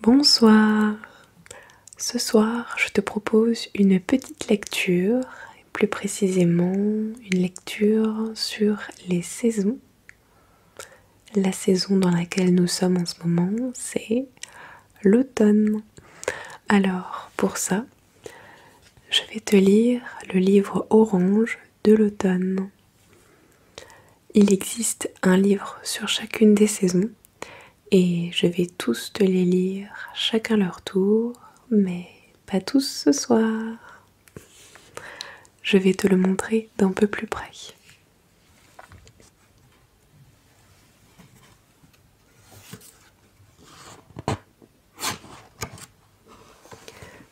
Bonsoir. Ce soir, je te propose une petite lecture, plus précisément une lecture sur les saisons. La saison dans laquelle nous sommes en ce moment, c'est l'automne. Alors, pour ça, je vais te lire le livre orange de l'automne. Il existe un livre sur chacune des saisons et je vais tous te les lire chacun leur tour, mais pas tous ce soir. Je vais te le montrer d'un peu plus près.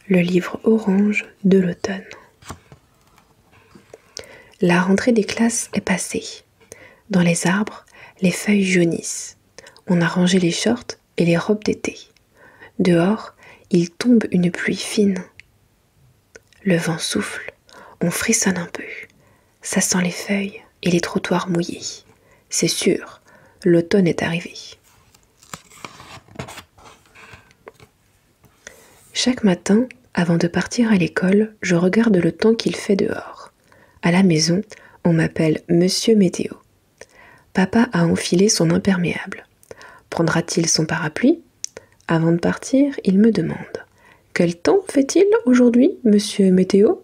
Le livre orange de l'automne. La rentrée des classes est passée. Dans les arbres, les feuilles jaunissent. On a rangé les shorts et les robes d'été. Dehors, il tombe une pluie fine. Le vent souffle, on frissonne un peu. Ça sent les feuilles et les trottoirs mouillés. C'est sûr, l'automne est arrivé. Chaque matin, avant de partir à l'école, je regarde le temps qu'il fait dehors. À la maison, on m'appelle Monsieur Météo. Papa a enfilé son imperméable. Prendra-t-il son parapluie Avant de partir, il me demande quel temps fait-il aujourd'hui, monsieur Météo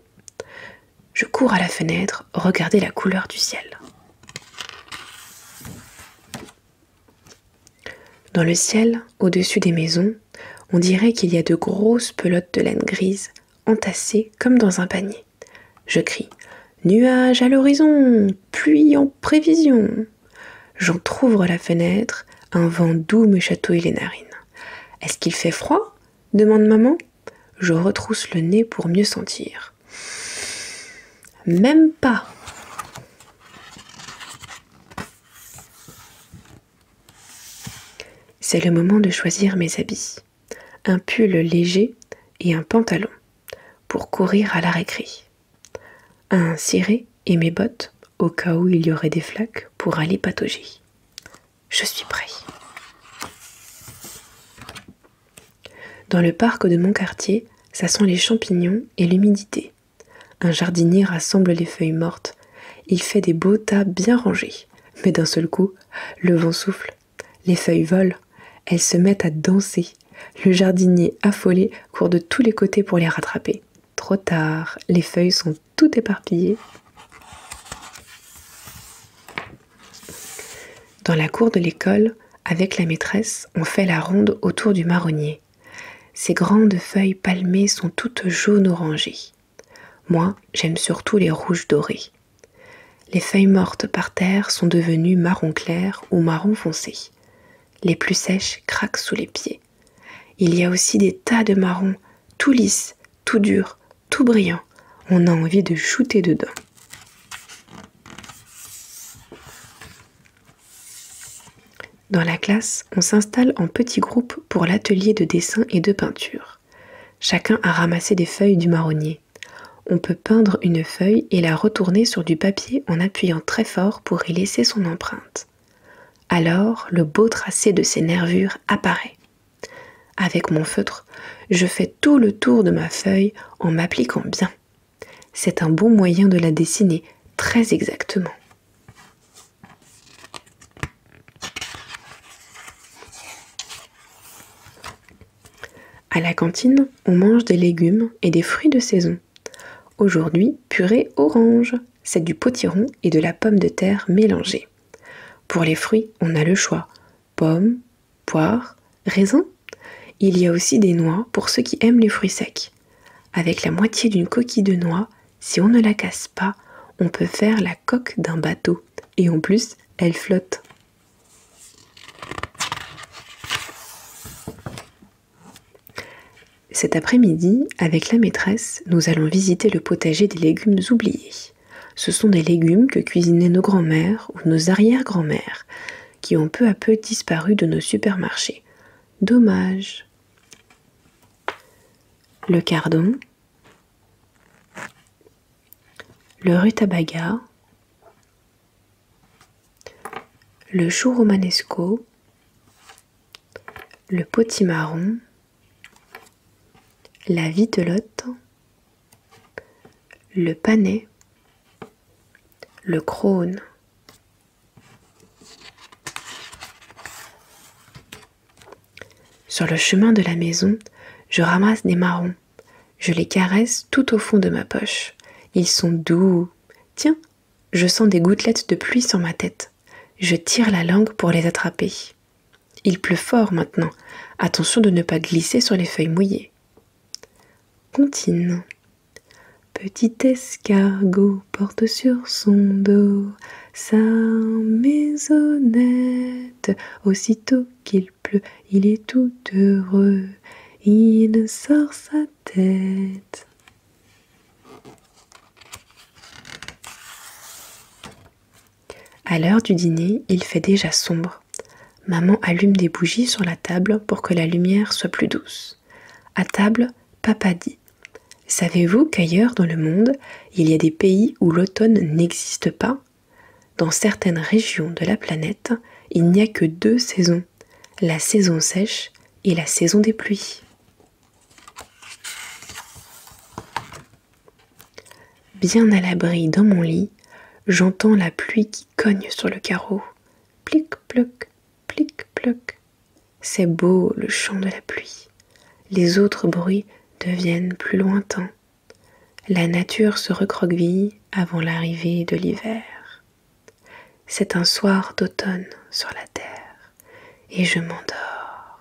Je cours à la fenêtre, regardez la couleur du ciel. Dans le ciel, au-dessus des maisons, on dirait qu'il y a de grosses pelotes de laine grise entassées comme dans un panier. Je crie Nuages à l'horizon, pluie en prévision. J'entr'ouvre la fenêtre, un vent doux me chatouille les narines. Est-ce qu'il fait froid demande maman. Je retrousse le nez pour mieux sentir. Même pas. C'est le moment de choisir mes habits. Un pull léger et un pantalon pour courir à l'arrêt récré un ciré et mes bottes, au cas où il y aurait des flaques, pour aller patauger. Je suis prêt. Dans le parc de mon quartier, ça sent les champignons et l'humidité. Un jardinier rassemble les feuilles mortes. Il fait des beaux tas bien rangés. Mais d'un seul coup, le vent souffle, les feuilles volent, elles se mettent à danser, le jardinier affolé court de tous les côtés pour les rattraper. Trop tard, les feuilles sont toutes éparpillées. Dans la cour de l'école, avec la maîtresse, on fait la ronde autour du marronnier. Ses grandes feuilles palmées sont toutes jaune orangées. Moi, j'aime surtout les rouges dorés. Les feuilles mortes par terre sont devenues marron clair ou marron foncé. Les plus sèches craquent sous les pieds. Il y a aussi des tas de marrons, tout lisses, tout durs, tout brillants. On a envie de shooter dedans. Dans la classe, on s'installe en petits groupes pour l'atelier de dessin et de peinture. Chacun a ramassé des feuilles du marronnier. On peut peindre une feuille et la retourner sur du papier en appuyant très fort pour y laisser son empreinte. Alors le beau tracé de ses nervures apparaît. Avec mon feutre, je fais tout le tour de ma feuille en m'appliquant bien. C'est un bon moyen de la dessiner très exactement. À la cantine, on mange des légumes et des fruits de saison. Aujourd'hui, purée orange, c'est du potiron et de la pomme de terre mélangée. Pour les fruits, on a le choix pommes, poire, raisin. Il y a aussi des noix pour ceux qui aiment les fruits secs. Avec la moitié d'une coquille de noix, si on ne la casse pas, on peut faire la coque d'un bateau. Et en plus, elle flotte. Cet après-midi, avec la maîtresse, nous allons visiter le potager des légumes oubliés. Ce sont des légumes que cuisinaient nos grands-mères ou nos arrière-grands-mères, qui ont peu à peu disparu de nos supermarchés. Dommage. Le cardon, le rutabaga, le chou romanesco, le potimarron, la vitelotte, le panais, le crone, sur le chemin de la maison, je ramasse des marrons. Je les caresse tout au fond de ma poche. Ils sont doux. Tiens, je sens des gouttelettes de pluie sur ma tête. Je tire la langue pour les attraper. Il pleut fort maintenant. Attention de ne pas glisser sur les feuilles mouillées. Contine. Petit escargot porte sur son dos sa maisonnette. Aussitôt qu'il pleut, il est tout heureux. Il sort sa tête. À l'heure du dîner, il fait déjà sombre. Maman allume des bougies sur la table pour que la lumière soit plus douce. À table, papa dit Savez-vous qu'ailleurs dans le monde, il y a des pays où l'automne n'existe pas Dans certaines régions de la planète, il n'y a que deux saisons, la saison sèche et la saison des pluies. Bien à l'abri dans mon lit, j'entends la pluie qui cogne sur le carreau. Plic-ploc, plic-ploc, c'est beau le chant de la pluie. Les autres bruits deviennent plus lointains. La nature se recroqueville avant l'arrivée de l'hiver. C'est un soir d'automne sur la terre et je m'endors.